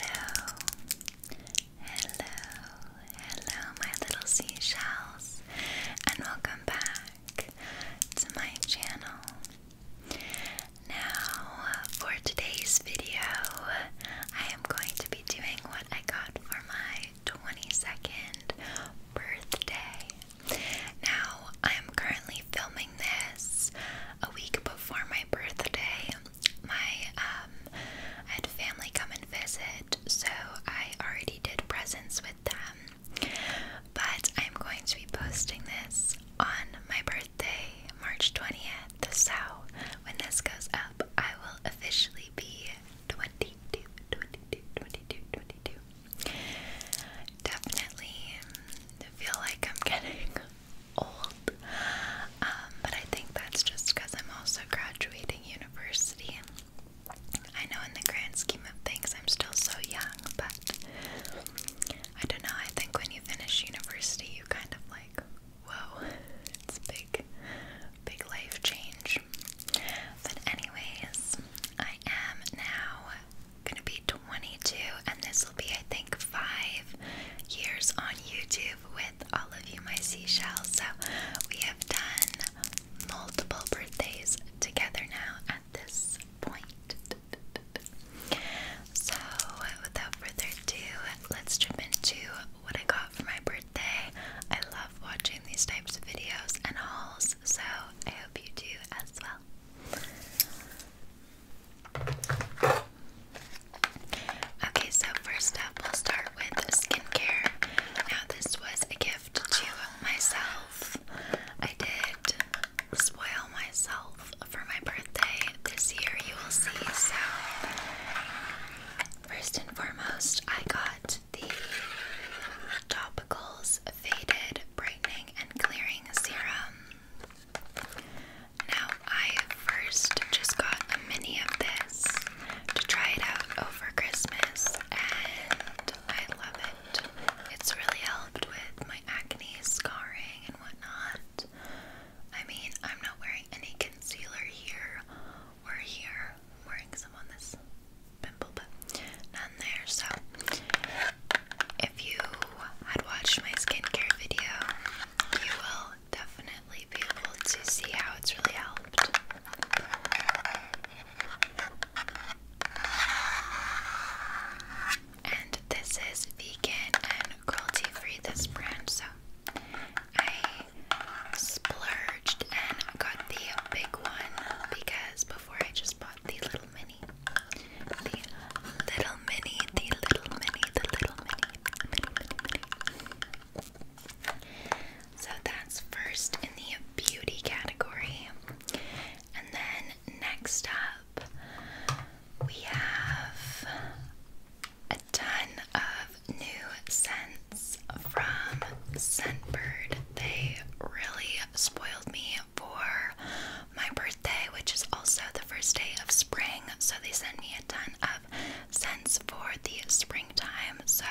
Hello, hello, hello, my little seashells, and welcome back to my channel. Now, for today's video, I am going to be doing what I got for my 22nd birthday. Now, I am currently filming this a week before my birthday, my um had family come and visit, so I already did presents with them. But I'm going to be posting this on my birthday, March 20th. So when this goes up, I will officially be 22, Definitely feel like I'm getting old. Um, but I think that's just because I'm also graduating university. I know in the grand scheme of things I'm still so young, but I don't know. I think when you finish university, you kind of like, whoa, it's a big, big life change. But, anyways, I am now gonna be 22, and this will be, I think, five years on YouTube with all of you my seashells. So we have done multiple birthdays together now at this point. So without further ado, let's jump into what I got for my birthday. I love watching these types of videos and hauls, so I hope you do as well. Okay, so first up, we'll start with skincare. Now, this was a gift to myself. I did spoil myself for my birthday this year, you will see. So, first and foremost, I got the Topicals Faded Brightening and Clearing Serum. Now, I first just got a mini of this to try it out over Christmas, and I love it. It's really helped with my acne scarring and whatnot. I mean, I'm not wearing any concealer here or here. I'm wearing some on this pimple, but none there. So, if you had watched my skincare video, you will definitely be able to see how it's really helped. And this is vegan and cruelty free, this brand, so I splurged and got the big one because before I just bought the little mini. The little the little mini, the little mini, So that's first in beauty category. And then next up, we have a ton of new scents from Scentbird. They really spoiled me for my birthday, which is also the first day of spring. So they sent me a ton of scents for the springtime. So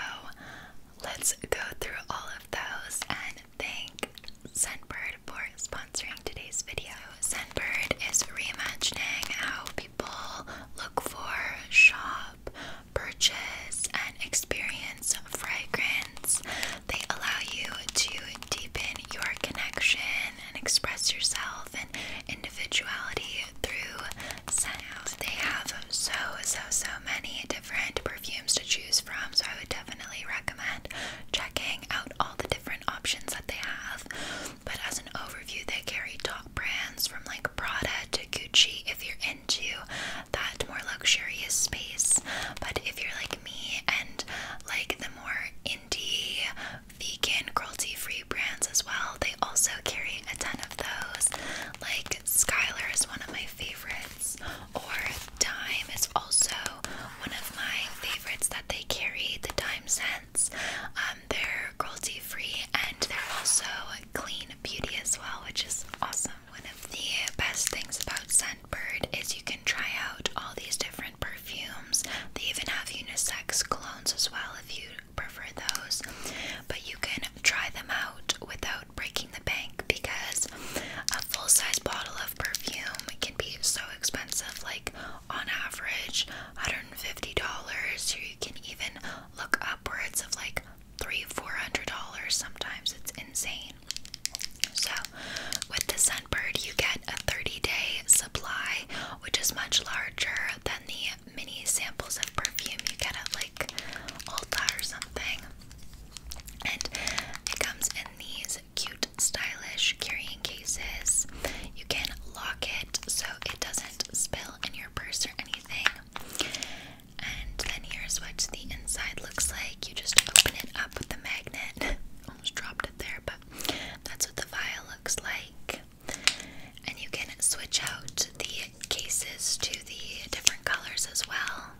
let's go through all of those and thank Scentbird for sponsoring today's video. Scentbird is reimagining how people look for, shop, purchase, and experience fragrance. They allow you to deepen your connection and express yourself and individuality through scents. They have so, so, so many different perfumes to choose from, so I would definitely recommend checking out all the different options that they have. But as an overview, they carry top brands from like Prada to Gucci if you're into that more luxurious space. But if you're like me and like the more indie vegan cruelty-free brands as well. They also carry a ton of those. Like Skylar is one of my favorites, or Dime is also one of my favorites that they carry. The Dime scents, um, they're cruelty-free and they're also clean beauty as well, which is awesome. One of the best things about Scentbird is you can try out all these different perfumes. They even have unisex colognes as well if you prefer those, but you can try them out without breaking the bank because a full size bottle of perfume can be so expensive, like on average $150. You can even look upwards of like three, four hundred dollars. Sometimes it's insane. So, with the Sunbird, you get a 30 day supply, which is much larger than the mini samples of perfume you get at like Ulta or something. And it comes in these cute, stylish carrying cases. You can lock it so it doesn't spill in your purse or anything. And then here's what the inside looks like. You just open it up with the magnet. Almost dropped it there, but that's what the vial looks like. And you can switch out the cases to the different colors as well.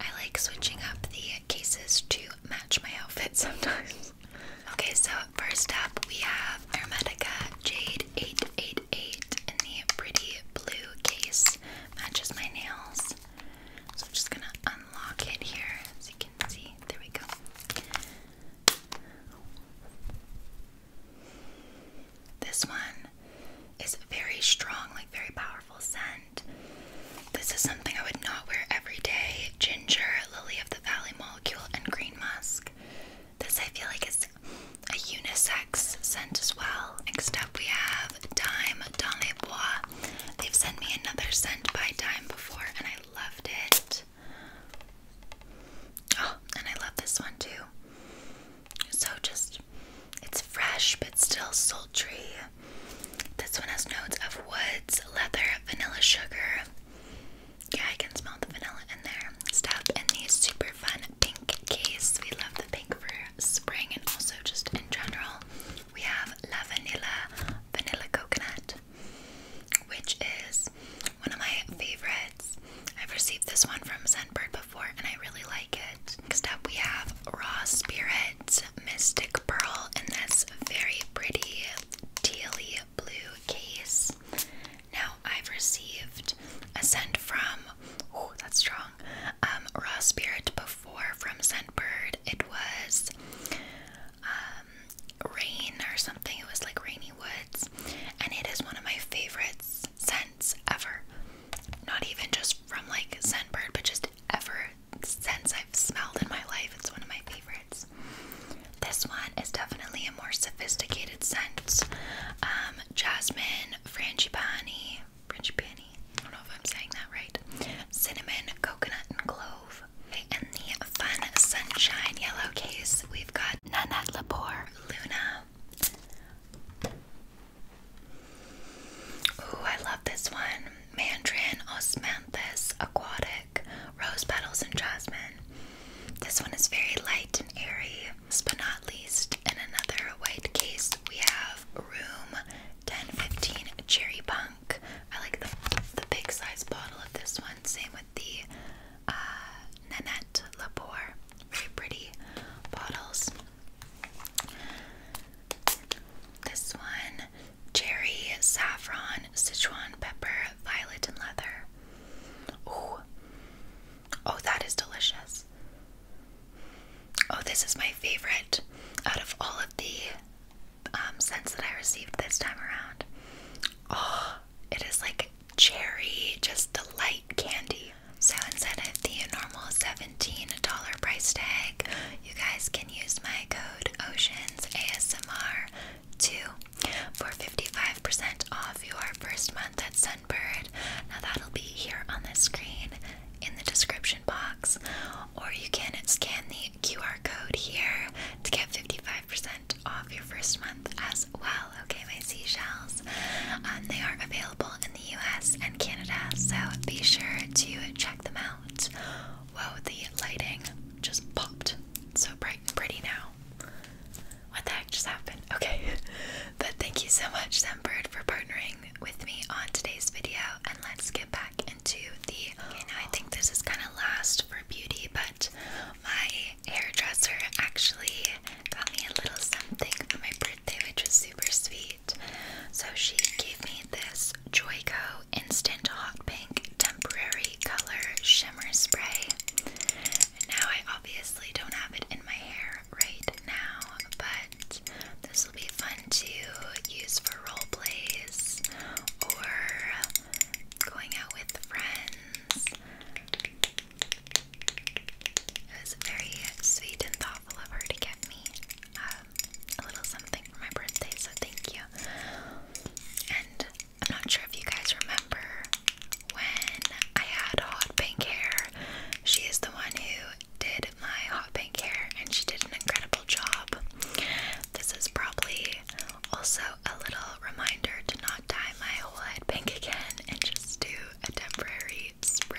I like switching up the cases to match my outfit sometimes. okay, so first up we have Hermetica Jade 888 in the pretty blue case. Matches my nails. So I'm just gonna unlock it here so you can see. There we go. This one is very strong, like very powerful scent. This is something I would not wear every day. Ginger, Lily of the Valley Molecule, and Green Musk. This I feel like is a unisex scent as well. Next up we have Dime Dans Bois. They've sent me another scent by Dime before and I loved it. Oh, and I love this one too. So just, it's fresh but still sultry. This one has notes of woods, leather, vanilla sugar. Yeah, I can smell the vanilla in there. Stuff in the super fun pink case. We love the pink for spring and also just in general. We have La Vanilla Vanilla Coconut, which is one of my favorite I've received this one from Scentbird before and I really like it. Next up we have Raw Spirit Mystic Pearl in this very pretty tealy blue case. Now I've received a scent from oh that's strong um, Raw Spirit before from Scentbird. It was um, rain or something. It was like rainy woods and it is one of my favorite scents ever. Not even just from like Scentbird, but just ever since I've smelled in my life. It's one of my favorites. This one is definitely a more sophisticated scent. Um, jasmine, frangipani, frangipani. I don't know if I'm saying that right. Cinnamon, coconut, and clove. And the fun sunshine yellow case, we've got Nanette Lepore Luna. Ooh, I love this one. Mandarin Osmanthus Aquatic, Rose Petals and Jasmine. This one is very light and airy. but not least, in another white case, we have Room 1015 Cherry Punk. I like the, the big size bottle of this one. Same with the uh, Nanette Labor, very pretty bottles. This one, cherry, saffron, Sichuan pepper, violet, and leather. Ooh. Oh, that is delicious. Oh, this is my favorite out of all of the um, scents that I received this time around. Oh, it is like cherry, just the light candy. So instead of the normal $17 price tag, you guys can use my code Oceans ASMR 2 for 55% off your first month at Sunbird. Now that'll be here on the screen in the description box, or you can scan the QR code here to get 55% off your first month as as Okay, my seashells. Um, they are available in the US and Canada, so be sure to check them out. Whoa, the lighting just popped. so bright and pretty now. What the heck just happened? Okay. but thank you so much, Sunbird, for partnering with me on today's video. And let's get back into the. I think this is kind of last for beauty, but my hairdresser actually got me a little something for my birthday, which was super sweet. So she gave me this Joyco Instant Hot Pink Temporary Color Shimmer Spray. now I obviously don't have it in my hair right now, but this will be fun to use for role plays or going out with friends. It was very sweet and thoughtful of her to get me um, a little something for my birthday, so thank you. And I'm not sure if you guys remember when I had hot pink hair. She is the one who did my hot pink hair, and she did an incredible job. This is probably also a little reminder to not dye my whole head pink again and just do a temporary spray.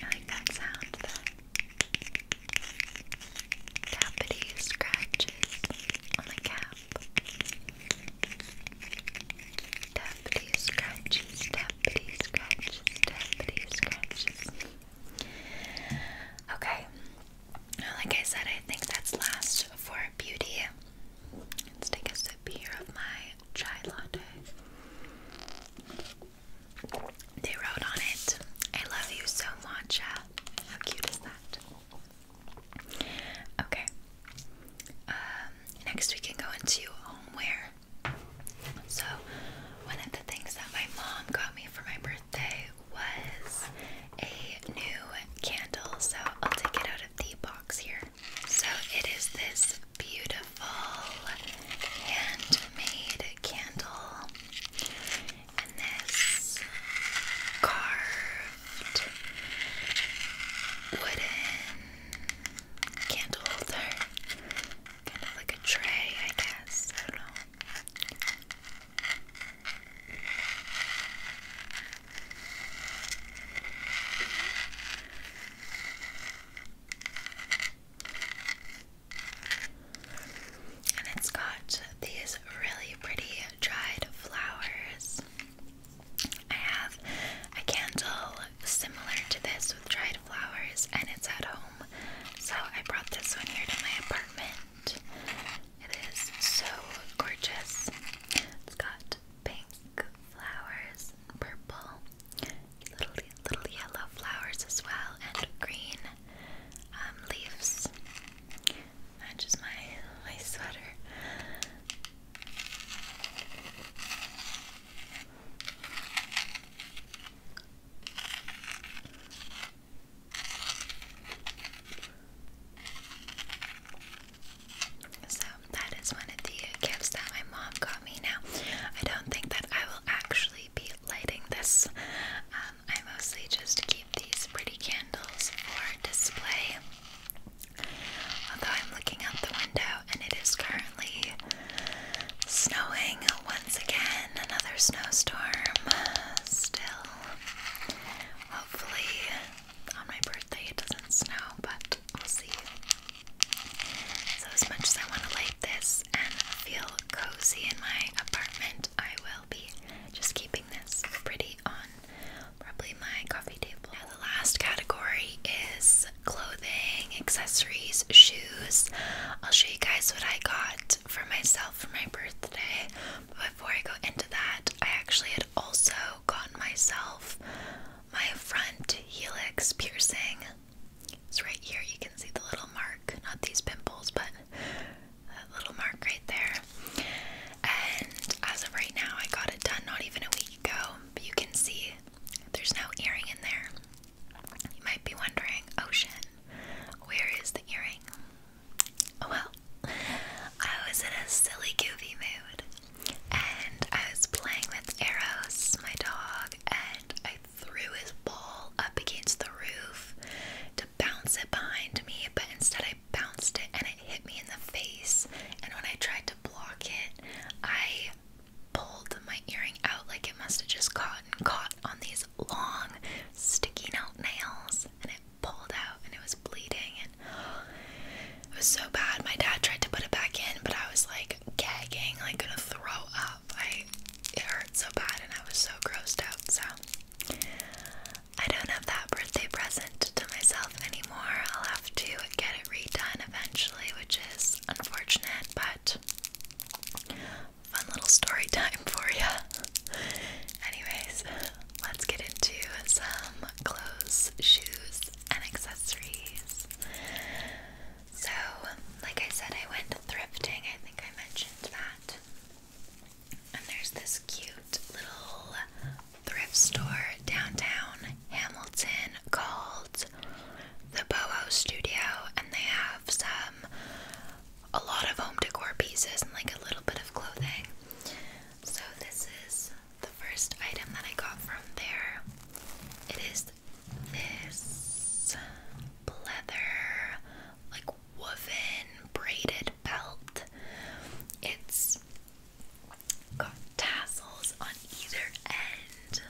I like that sound, the scratches on the cap. Tappity scratches, tappity scratches, tappity scratches. Okay, like I said, I think that's last for beauty. Let's take a sip here of my chai latte. They wrote on it, I love you so much. How cute is that? Okay. Um, next we can go into homeware. So, one of the things that my mom got me for my birthday was a new candle, so I'll take it out of the box here. So it is this beautiful handmade candle and this carved wooden candle holder. Kind of like a tray, I guess. And it's got these really pretty dried flowers. I have a candle similar to this with dried flowers, and it's at home. So I brought this one here to my apartment it is so gorgeous. It's got pink flowers, and purple, little little yellow flowers as well, and green um, leaves. Matches my my sweater. So that is one of the gifts that my mom got me. Now, I don't think that I will actually be lighting this. Um, I mostly just keep these pretty candles for display. Although I'm looking out the window and it is currently snowing once again, another snowstorm. Uh, still Hopefully, on my birthday it doesn't snow, but we'll see. So, as much as I want to light this and feel cozy in my apartment, I will be just keeping this pretty on probably my coffee table. Now, the last category is clothing, accessories, shoes. I'll show you guys what I got for myself for my birthday before I go into that, I actually had also gotten myself my front helix piercing. It's right here. You can see the little mark, not these pimples, but that little mark right there. And as of right now, I got it done not even a week ago, but you can see there's no earring in there. You might be wondering, Ocean, oh where is the earring? Oh, well, I was in a silly goofy mood and I was playing with Eros, my dog, and I threw his ball up against the roof to bounce it behind me, but instead I bounced it and it hit me in the face. And when I tried to block it, I pulled my earring out like it must have just caught and caught on these long, sticking out nails and it pulled out and it was bleeding and it was so bad. My dad tried to put it back in, but I was like gagging, like gonna throw up. I it hurt so bad and I was so grossed out. So I don't have that birthday present to myself anymore. I'll have to get it redone eventually, which is unfortunate, but fun little story time for ya. Anyways, let's get into some clothes, shoes, and accessories. So, like I said, I went thrifting. I think I mentioned that. And there's this cute little thrift store downtown Hamilton called the Boho Studio, and they have some a lot of home decor pieces and like a little bit of clothing. So, this is the first item that I got from there. It is this leather, like woven braided belt. It's got tassels on either end.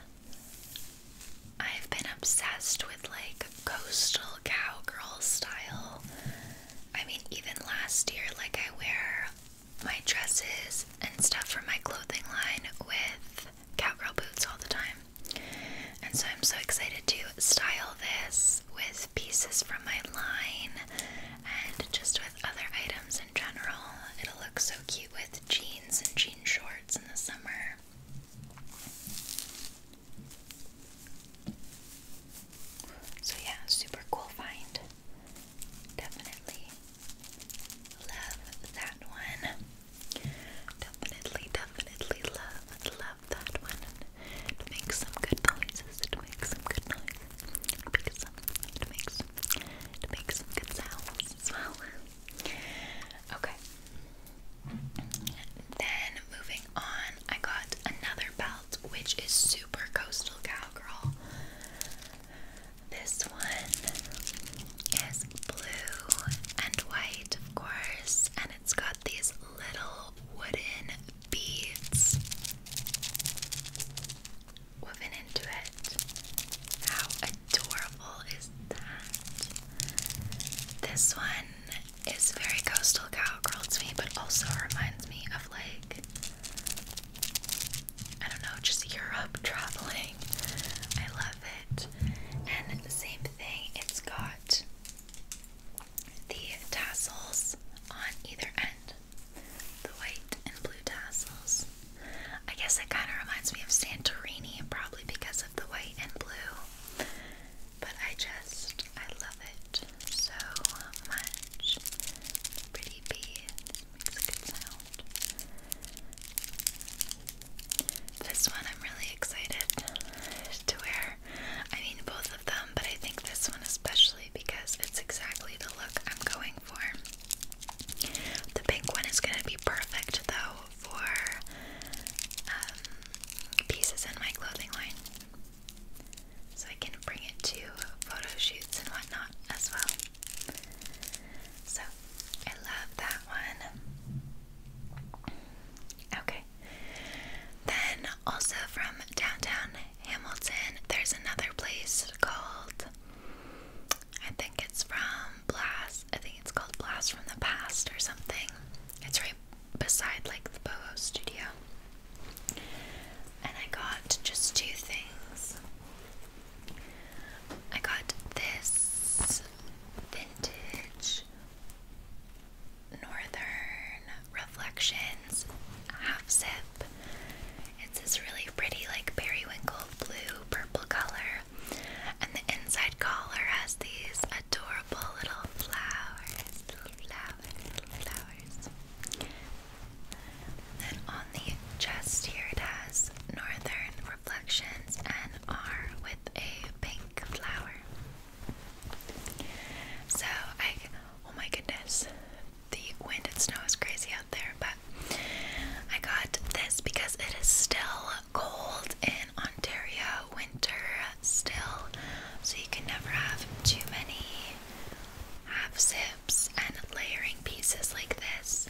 I've been obsessed with like coastal cowgirl style I mean, even last year, like I wear my dresses and stuff from my clothing line with cowgirl boots all the time. And so I'm so excited to style this with pieces from my line and just with other items in general. It'll look so cute with jeans and jean shorts in the summer. So yeah, super cool find. Definitely love that one. Definitely, definitely love, love that one. It makes some good noises. It makes some good noises. It makes some, it makes, makes some good sounds as well. Okay. Then moving on, I got another belt which is super super coastal cowgirl. This one is blue and white, of course, and it's got these little wooden beads woven into it. How adorable is that? This one is very coastal cowgirl to me, but also reminds me of like I don't know, just Europe traveling. I love it. And the same thing, it's got the tassels on either end. The white and blue tassels. I guess it kind of reminds me of Santorini, probably because of the white and blue. But I just, I love it so much. pretty beads makes a good sound. This one I'm really excited to wear. I mean both of them, but I think this one especially because it's exactly the look I'm going for. The pink one is going to be perfect though for um, pieces in my clothing line so I can bring it to photo shoots and whatnot as well. So I love that one. Okay. Then also from downtown Hamilton, there's another place called I think it's from Blast. I think it's called Blast from the Past or something. It's right beside like the Boho Studio. And I got just two things. I got this vintage Northern Reflections half zip. It's this really pretty, like periwinkle blue purple color, and the inside collar has these adorable little flowers, then on the chest here it has Northern Reflections and R with a pink flower. So I, oh my goodness, the wind and snow is crazy out there, but I got this because it is still cold in Ontario, winter still, so you can never have too many half zips and layering pieces like this.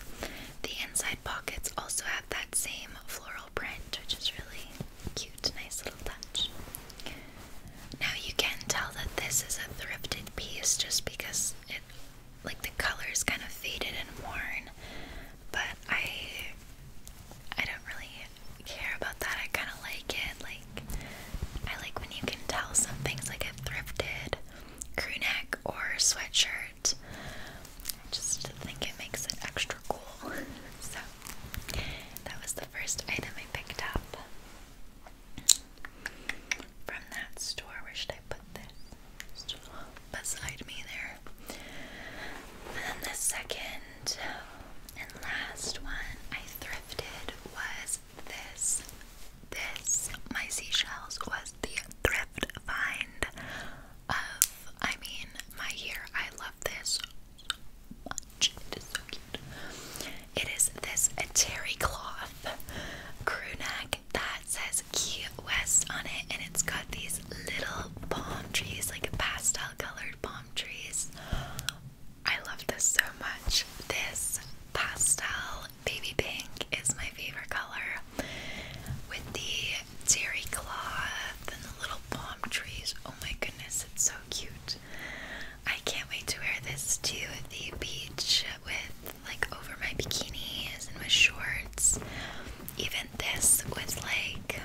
The inside pockets also have that same floral print, which is really cute, nice little touch. Now you can tell that this is a thrifted piece just because it like the color is kind of faded and worn, but I I don't really care about that. I kind of like it. Like I like when you can tell some things like a thrifted crew neck or sweatshirt. I just think it makes it extra cool. So that was the first item I picked up from that store. Where should I put this? Beside me there. And then the second and last one I thrifted was this, this, my seashells was the thrift find of, I mean, my year. I love this much. It is so cute. It is this terry cloth crew neck that says Key West on it, and it's got these little palm trees, like pastel colored palm trees I love this so much. This pastel baby pink is my favorite color with the terry cloth and the little palm trees. Oh my goodness, it's so cute. I can't wait to wear this to the beach with like over my bikinis and my shorts. Even this with like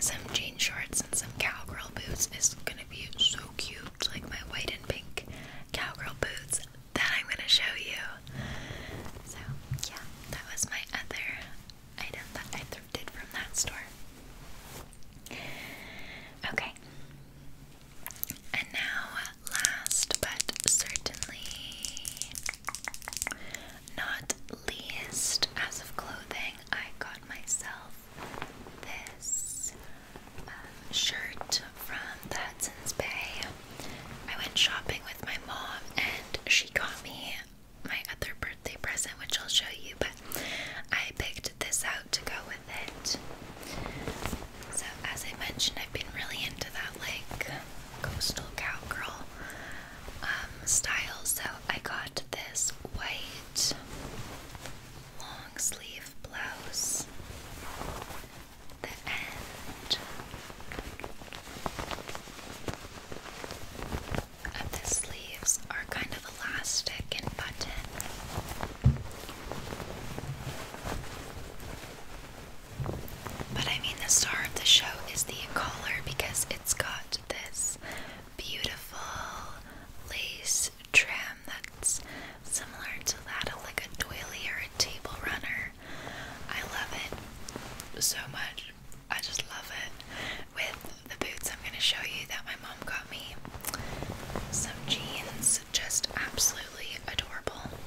some jean shorts and some cowgirl boots is gonna be so cute, like my white and pink cowgirl boots that I'm gonna show you. So yeah, that was my other item that I thrifted from that store. Okay. And now, last but certainly not least, as of clothing, I got myself this um, shirt from the Hudson's Bay. I went shopping with my mom and she got me my other birthday present, which I'll show you, but I picked this out to go with it. So, as I mentioned, I've been really into that like coastal cowgirl um, style, so I got this white long sleeve blouse, the end of the sleeves are kind of elastic and button. But I mean, the star of the show is the collar because it's got this beautiful lace trim that's similar to that of like a doily or a table runner. I love it so much. I just love it. With the boots I'm going to show you that my mom got me. Some jeans, just absolutely adorable.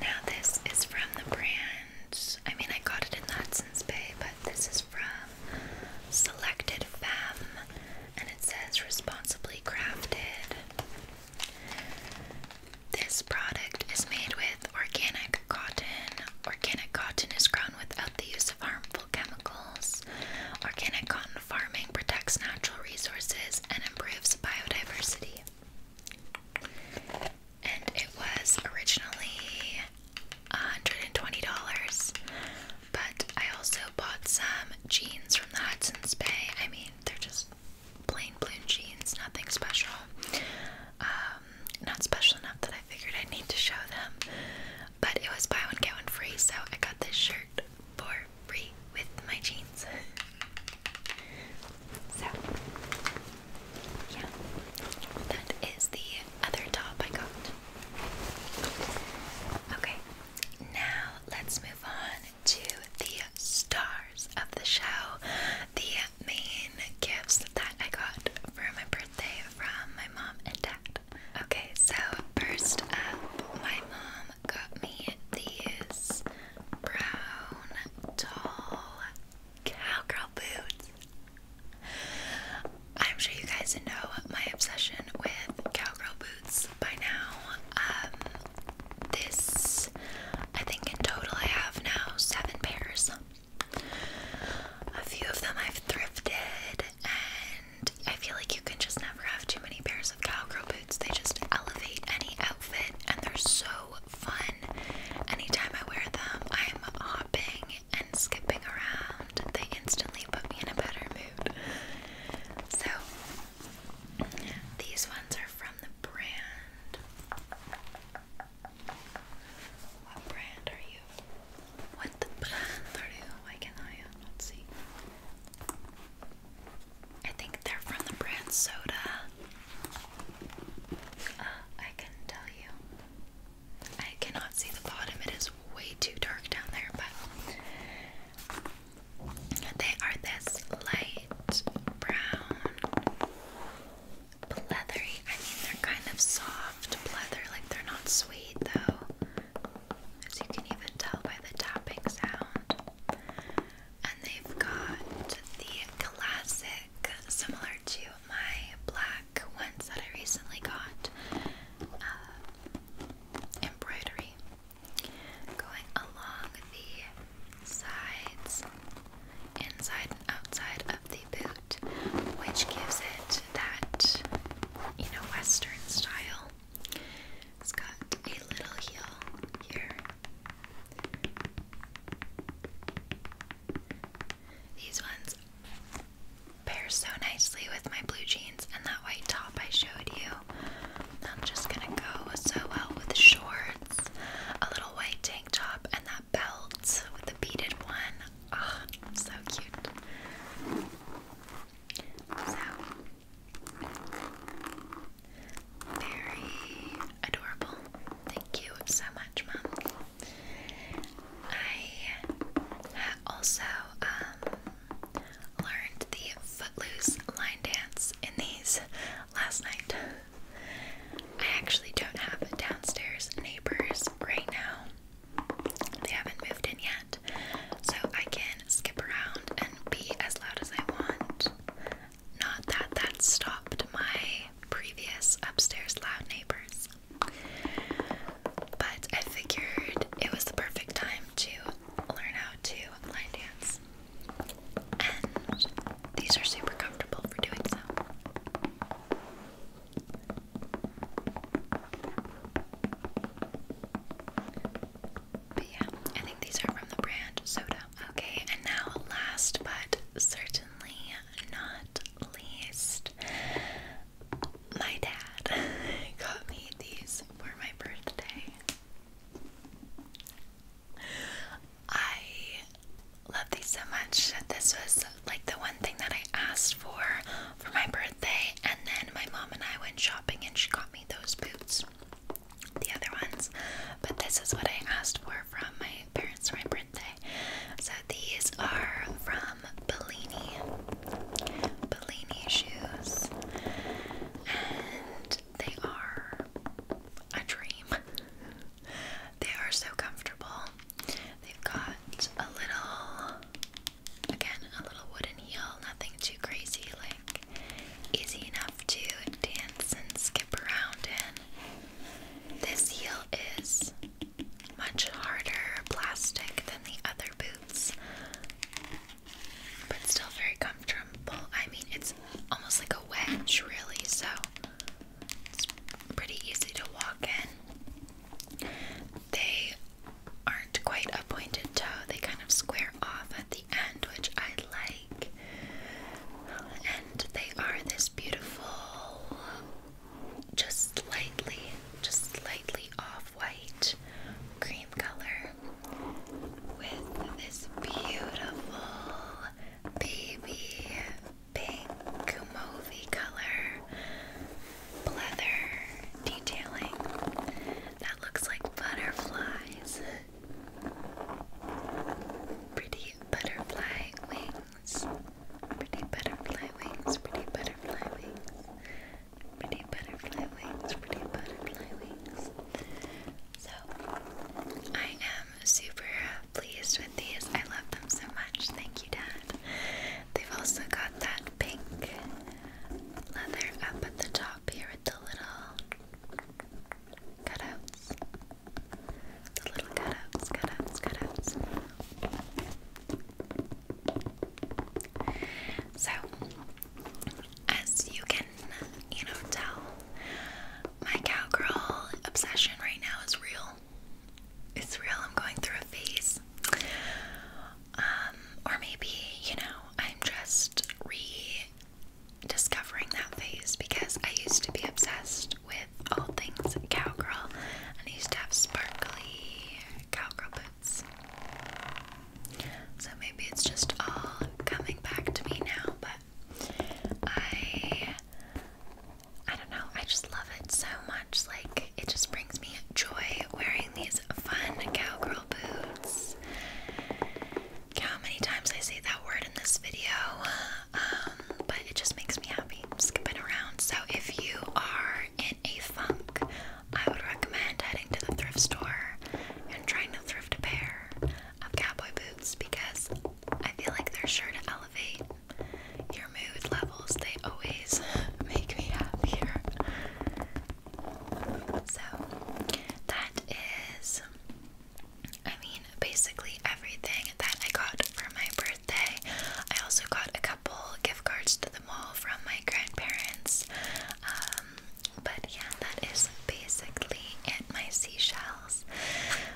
Now this is from the brand, I mean I got it in Hudson's Bay, but this is from Selected Fam and it says responsibly crafted. This product is made with organic cotton. Organic cotton is grown without the use of harmful chemicals. Organic cotton farming protects natural resources and improves biodiversity. And it was originally $120. But I also bought some jeans from the Hudson's Bay. I mean, they're just plain blue jeans, nothing special. Um, not special enough that I figured I need to show them. But it was buy one get one free, so I got this shirt for free with my jeans. so yeah, that is the other top I got. Okay, now let's move on to the stars of the show, the main gifts that I got for my birthday from my mom and dad. Okay, so first up, my mom got me these brown, tall cowgirl boots. I'm sure you guys know my obsession with cowgirl boots by now. Um, this, I think in total, I have now seven pairs. A few of them I've thrifted, and I feel like you can just never have too many pairs of cowgirl boots. They just elevate any outfit, and they're so fun. Anytime I wear them, I'm hopping and skipping around. They instantly put me in a better mood. So, these ones are from the brand. What brand are you? What brand are you? Why can not see? I think they're from the brand Soda. Uh, I can tell you. I cannot see the bottom. It is way too dark down there, but they are this light brown, pleathery. I mean, they're kind of soft pleather, like they're not sweet though, as you can even tell by the tapping sound. And they've got the classic, similar to my black ones that I recently got, uh, embroidery going along the sides, inside and outside of the boot, which gives it that, you know, Western style. It's got a little heel here. These ones pair so nicely with my blue jeans and that white top I showed you. I'm just gonna go so well with shorts, a little white tank top, and that belt with the beaded one. Ah, so cute. So very adorable. Thank you so much, Mom. I also um, learned the footloose line dance in these last night. I actually don't have downstairs neighbors right now. They haven't moved in yet, so I can skip around and be as loud as I want. Not that that stopped my previous upstairs loud neighbors. But I figured it was the perfect time to learn how to line dance and these are super comfortable for doing so. But yeah, I think these are from the brand Soda. Okay, and now last but certainly not least, my dad got me these for my birthday. I love these so much. This was like the one thing that I asked for for my birthday, and then my mom and I went shopping and she got me those boots, the other ones. But this is what I asked for from my parents for my birthday. So these are from Bellini, Bellini shoes, and they are a dream. they are so comfortable. They've got a little, again, a little wooden heel, nothing too crazy, like easy enough to dance and skip around in. This heel is much harder plastic than the other boots, but still very comfortable. I mean, it's almost like a wedge, really, so it's pretty easy to walk in. They aren't quite a pointed toe, they kind of square off at the end, which I like. And they are this beautiful, just slightly, just slightly off white cream color with this beautiful baby pink movie color pleather detailing that looks like butterflies. Pretty butterfly wings. Pretty butterfly wings. Pretty butterfly wings. Pretty butterfly wings. Pretty butterfly wings. So I am super pleased with these. I love them so much. Thank you, Dad. They've also got that pink leather up at the top here with the little cutouts. The little cutouts, cutouts, cutouts. So as you can, you know, tell, my cowgirl obsession right now is real. It's real. I'm going through a phase. Um, or maybe, you know, I'm just rediscovering that phase because I used to be obsessed with all things cowgirl and I used to have sparkly cowgirl boots. So maybe it's just all coming back to me now, but I I don't know, I just love it so much. Like it just brings me joy wearing these fun cowgirl boots. how many times I say that word in this video. Um, but it just makes me happy skipping around. So if you are in a funk, I would recommend heading to the thrift store and trying to thrift a pair of cowboy boots because I feel like they're sure to elevate your mood levels. They always make me happier. So, that is, I mean, basically everything that I got for my birthday. I also got a couple gift cards to the mall from my grandparents. Um, but yeah, that is basically it, my seashells.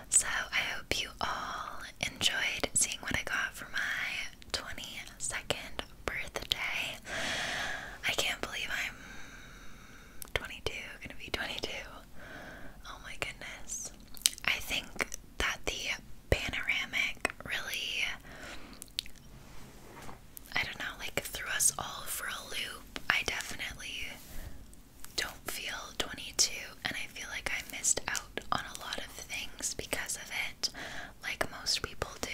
So I hope you all enjoyed seeing what I got for my 22nd birthday. I can't believe I'm 22, gonna be 22. Oh my goodness. I think that the panoramic really, I don't know, like threw us all for a loop. I definitely don't feel 22 and I feel like I missed out on a lot of things because of it, like most people do.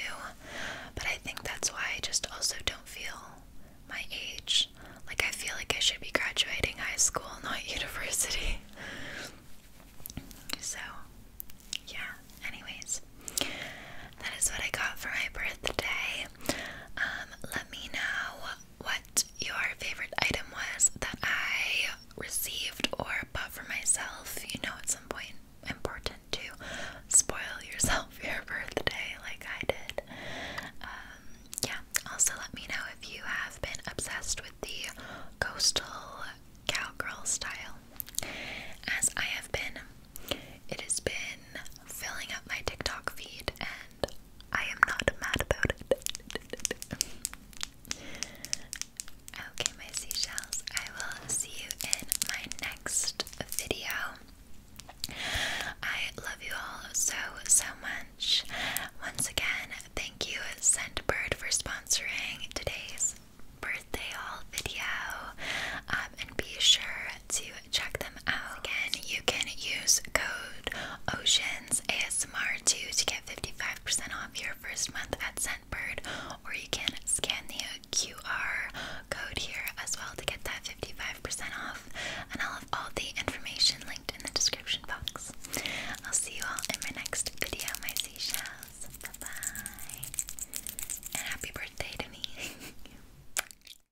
But I think that's why I just also don't feel my age. Like I feel like I should be graduating high school, not university. so, yeah, anyways, that is what I got for my birthday. Um, let me know what your favorite item was that I received or bought for myself. You know, at some point, important to spoil yourself your birthday like I did. Um, yeah, also let me know if you have been obsessed with the coastal cowgirl style, as I have been. It has been filling up my TikTok feed, and I am not mad about it. okay, my seashells, I will see you in my next video. I love you all so, so much. Once again, thank you, Scentbird, for sponsoring today's birthday haul video. Um, and be sure to check them out. Again, you can use code Oceans ASMR 2 to get 55% off your first month at Scentbird, or you can scan the QR code here as well to get that 55% off. And I'll have all the information linked in the description box. I'll see you all in my next video, my seashells. bye. And happy birthday to me.